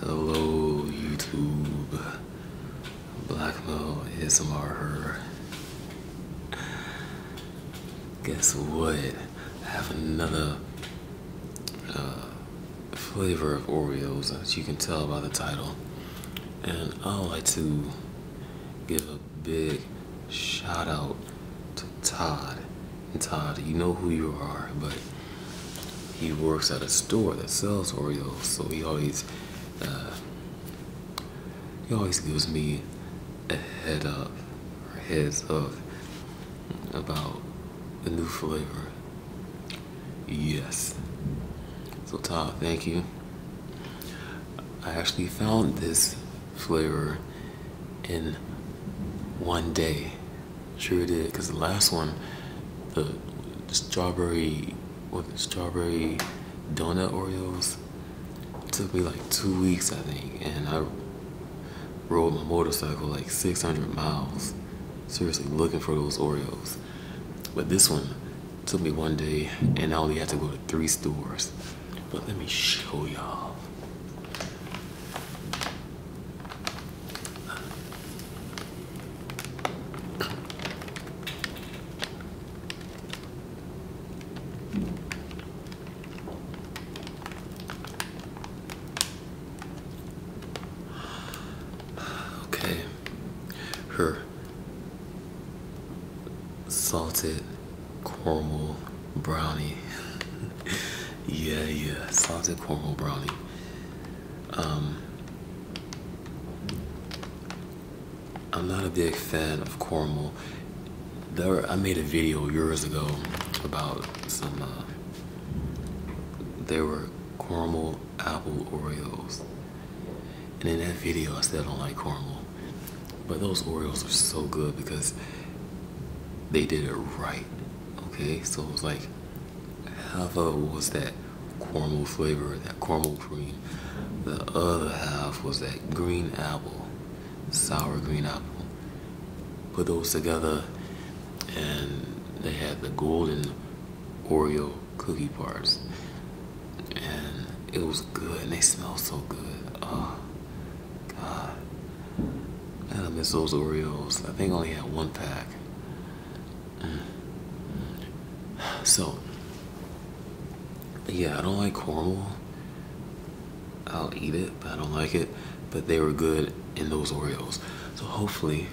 Hello, YouTube. Blackmo ASMR her. Guess what? I have another uh, flavor of Oreos, as you can tell by the title. And I would like to give a big shout out to Todd. And Todd, you know who you are, but he works at a store that sells Oreos, so he always uh, he always gives me a head up or heads up about the new flavor. Yes. So Todd, thank you. I actually found this flavor in one day. Sure did, because the last one, the, strawberry, what the strawberry donut Oreos, took me like two weeks, I think, and I rode my motorcycle like 600 miles, seriously looking for those Oreos. But this one took me one day, and I only had to go to three stores. But let me show y'all. Okay. Her salted caramel brownie. yeah, yeah, salted caramel brownie. Um, I'm not a big fan of caramel. There, I made a video years ago about some. Uh, there were caramel apple Oreos, and in that video I said I don't like caramel. But those Oreos are so good because they did it right. Okay, so it was like half of it was that caramel flavor, that caramel cream. The other half was that green apple, sour green apple. Put those together and they had the golden Oreo cookie parts, And it was good and they smelled so good. Ah, God. Ah. I miss those Oreos. I think I only had one pack. Mm. So, yeah, I don't like caramel. I'll eat it, but I don't like it. But they were good in those Oreos. So hopefully,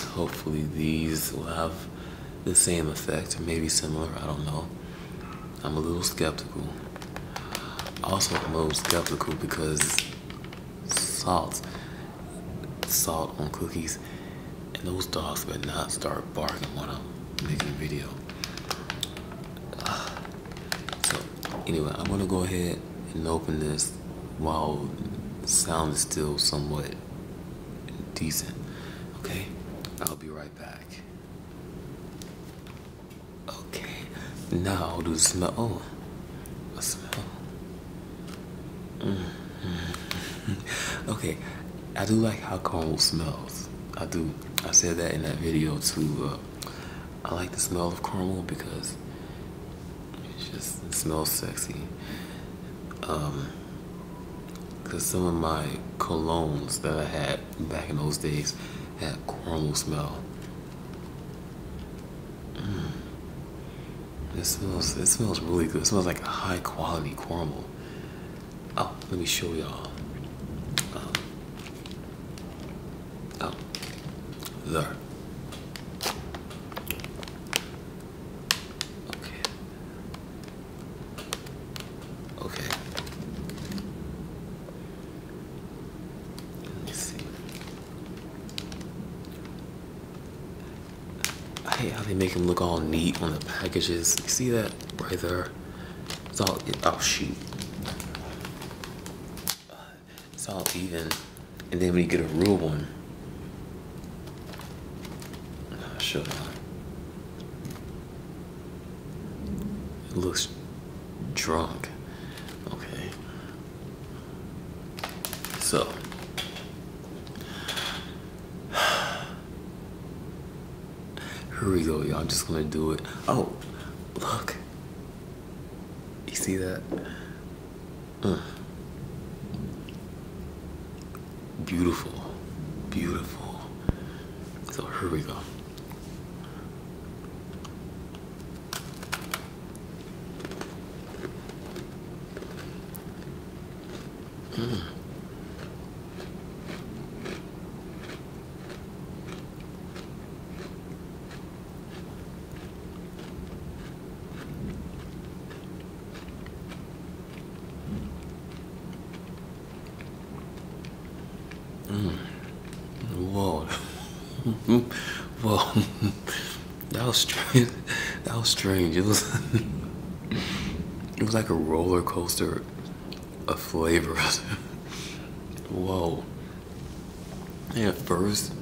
hopefully these will have the same effect or maybe similar, I don't know. I'm a little skeptical. Also, a little skeptical because salt, salt on cookies, and those dogs would not start barking when I'm making a video. So, anyway, I'm gonna go ahead and open this while sound is still somewhat decent. Okay, I'll be right. Okay, now i do the smell. Oh, smell. Mm-hmm. okay, I do like how corn smells. I do. I said that in that video too. Uh, I like the smell of caramel because it just smells sexy. Um, because some of my colognes that I had back in those days had caramel smell. Mm. It smells, it smells really good. It smells like high quality caramel. Oh, let me show y'all. Um, oh, there. Okay. Okay. Let's see. I hate how they make them look all neat on the packages. You see that right there? It's all, it, oh shoot. It's all even. And then when you get a real one, I'll show it looks drunk. Okay. So. Here we go, y'all. I'm just gonna do it. Oh, look. You see that? Uh beautiful, beautiful. So here we go. Hmm. Mm. Whoa. Whoa. that was strange. That was strange. It was It was like a roller coaster of flavors. Whoa. And at first,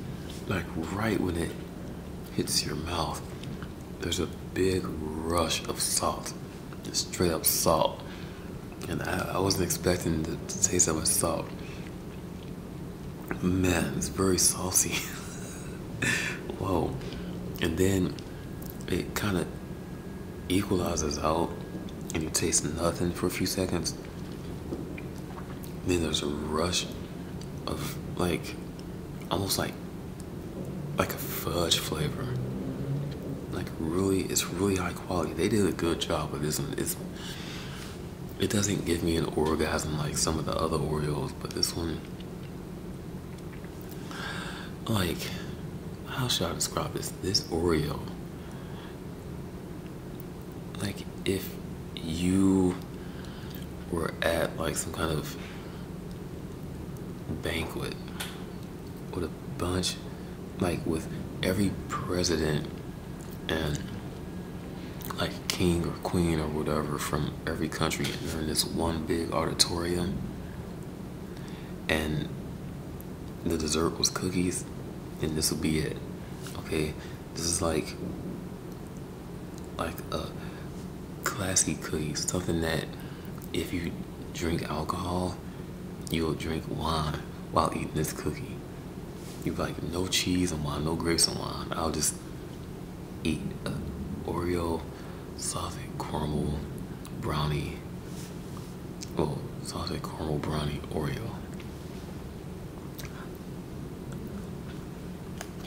like right when it hits your mouth, there's a big rush of salt, just straight up salt. And I, wasn't expecting the taste of salt. Man, it's very salty. Whoa. And then it kind of equalizes out and you taste nothing for a few seconds. Then there's a rush of like almost like like a fudge flavor. Like really, it's really high quality. They did a good job with this. it doesn't give me an orgasm like some of the other Oreos, but this one, like, how should I describe this? This Oreo, like if you were at like some kind of banquet with a bunch, like with every president and like king or queen or whatever from every country in this one big auditorium and the dessert was cookies and this would be it okay this is like like a classy cookie, something that if you drink alcohol, you'll drink wine while eating this cookie. You like no cheese and wine, no grapes and wine. I'll just eat Oreo sausage caramel brownie. Oh, sausage caramel brownie Oreo.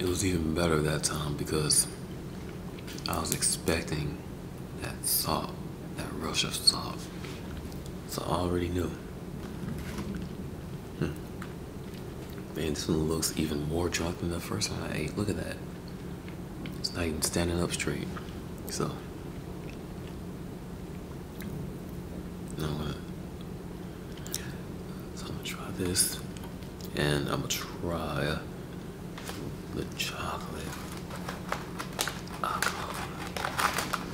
it was even better that time because I was expecting that salt, that rush of salt. So I already knew. Hmm. this one looks even more drunk than the first one I ate. Look at that. It's not even standing up straight. So, you I'm gonna try this, and I'm gonna try the chocolate.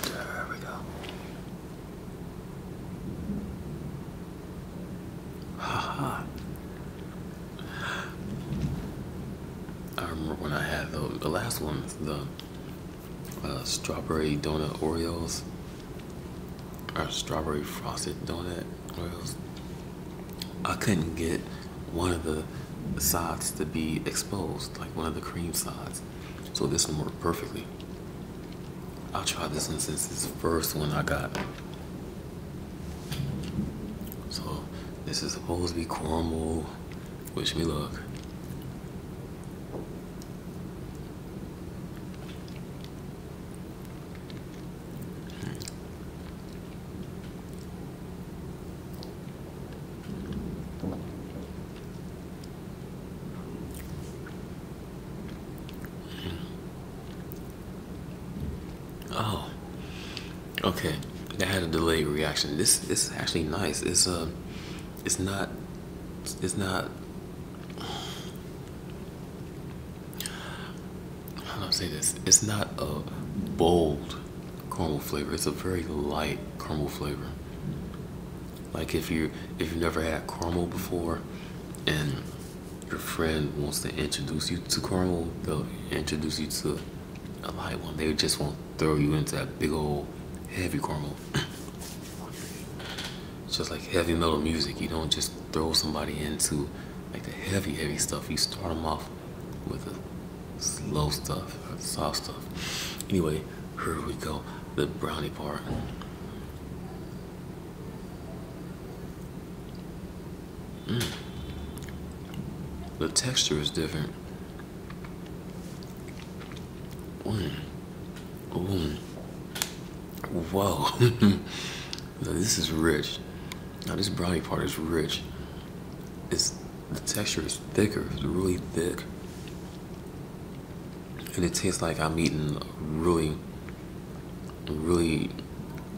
There we go. Haha. I remember when I had the, the last one, the uh, strawberry donut Oreos or strawberry frosted donut Oreos. I couldn't get one of the sides to be exposed, like one of the cream sides. So this one worked perfectly. I'll try this one since it's the first one I got. So this is supposed to be caramel. Wish me luck. Oh. Okay. That had a delayed reaction. This this is actually nice. It's a uh, it's not it's not I do not say this? It's not a bold caramel flavor. It's a very light caramel flavor. Like if you if you've never had caramel before and your friend wants to introduce you to caramel, they'll introduce you to a light one. They just want throw you into that big old heavy caramel. just like heavy metal music. You don't just throw somebody into like the heavy, heavy stuff. You start them off with the slow stuff, soft stuff. Anyway, here we go, the brownie part. Mm. The texture is different. Ooh. Whoa. this is rich. Now this brownie part is rich. It's the texture is thicker. It's really thick. And it tastes like I'm eating really, really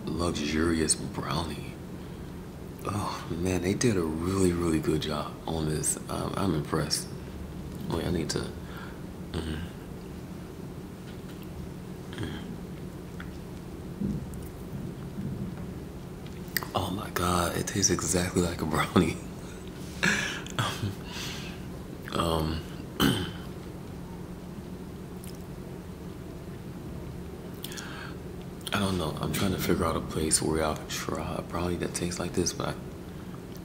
luxurious brownie. Oh man, they did a really, really good job. Uh, on this. Um, I'm impressed. Wait, I need to. Mm-hmm. Oh my god, it tastes exactly like a brownie. Um, I don't know. I'm trying to figure out a place where i can try a brownie that tastes like this, but I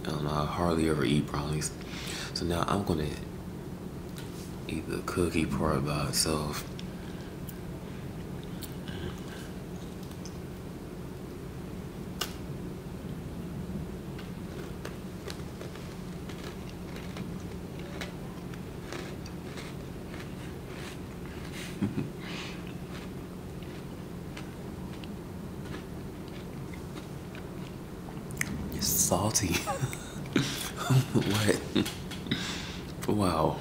um, I hardly ever eat brownies. So now I'm gonna eat the cookie part by itself. It's salty. what? wow.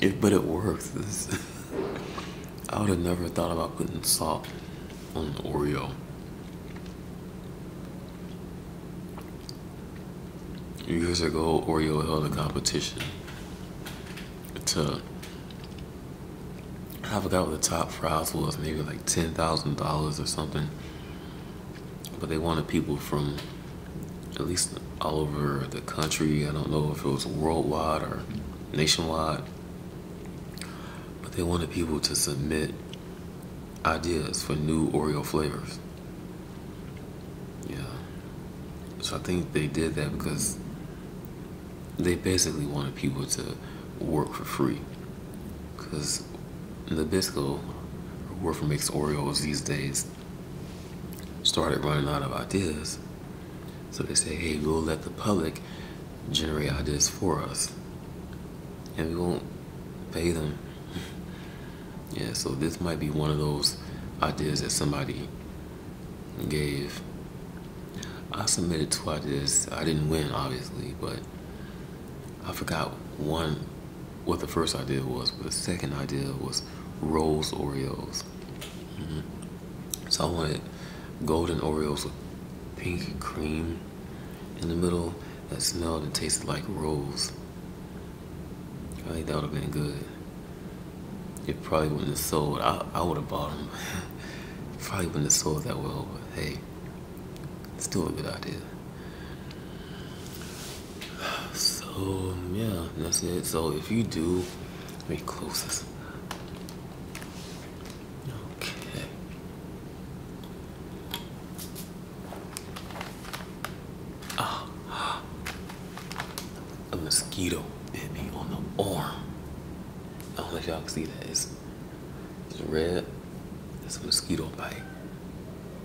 It, but it works. I would have never thought about putting salt on Oreo. Years ago, Oreo held a competition to I forgot what the top prize was, maybe like ten thousand dollars or something. But they wanted people from at least all over the country. I don't know if it was worldwide or nationwide. But they wanted people to submit ideas for new Oreo flavors. Yeah. So I think they did that because they basically wanted people to work for free. Because Nabisco, who work for makes Oreos these days, started running out of ideas. So they say, hey, we'll let the public generate ideas for us. And we won't pay them. yeah, so this might be one of those ideas that somebody gave. I submitted two ideas. I didn't win, obviously, but I forgot one, what the first idea was, but the second idea was Rose Oreos. Mm-hmm. So I wanted golden Oreos with pink cream in the middle that smelled and tasted like rose. I think that would have been good. It probably wouldn't have sold. I, I would have bought them. probably wouldn't have sold that well, but hey, it's still a good idea. So, yeah, that's it. So, if you do, let me close this. Okay. Oh a mosquito bit me on the arm. I don't know if y'all see that. It's, it's red. It's a mosquito bite.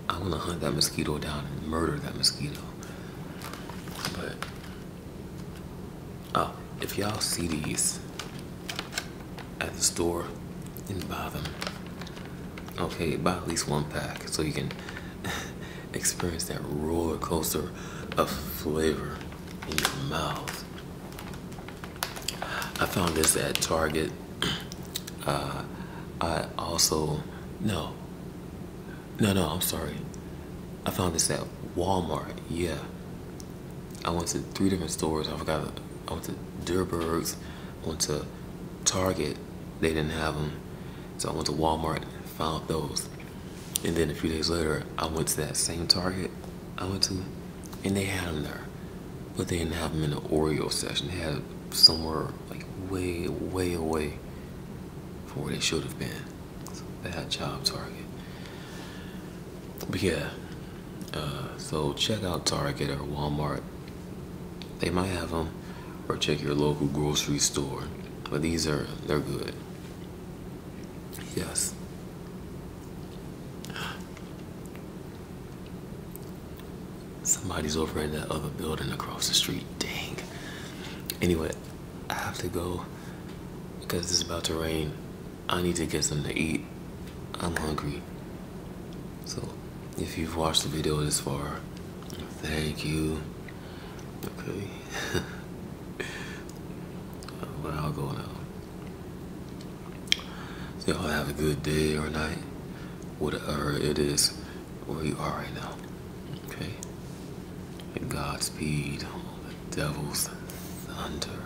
I'm gonna hunt that mosquito down and murder that mosquito. But, oh, if y'all see these at the store, then buy them. Okay, buy at least one pack so you can experience that roller coaster of flavor in your mouth. I found this at Target. Uh, I also, no, no, no, I'm sorry. I found this at Walmart, yeah. I went to three different stores. I forgot, I went to Durberg's, I went to Target, they didn't have them. So I went to Walmart, found those. And then a few days later, I went to that same Target I went to, and they had them there. But they didn't have them in the Oreo section. They had somewhere like way, way away from where they should have been. bad job, Target. But yeah, uh, so check out Target or Walmart they might have them, or check your local grocery store. But these are, they're good. Yes. Somebody's over in that other building across the street. Dang. Anyway, I have to go because it's about to rain. I need to get something to eat. I'm hungry. So, if you've watched the video this far, Thank you. Okay. Where I'll go now. y'all have a good day or night, whatever it is, where you are right now. Okay. And Godspeed, the devil's thunder.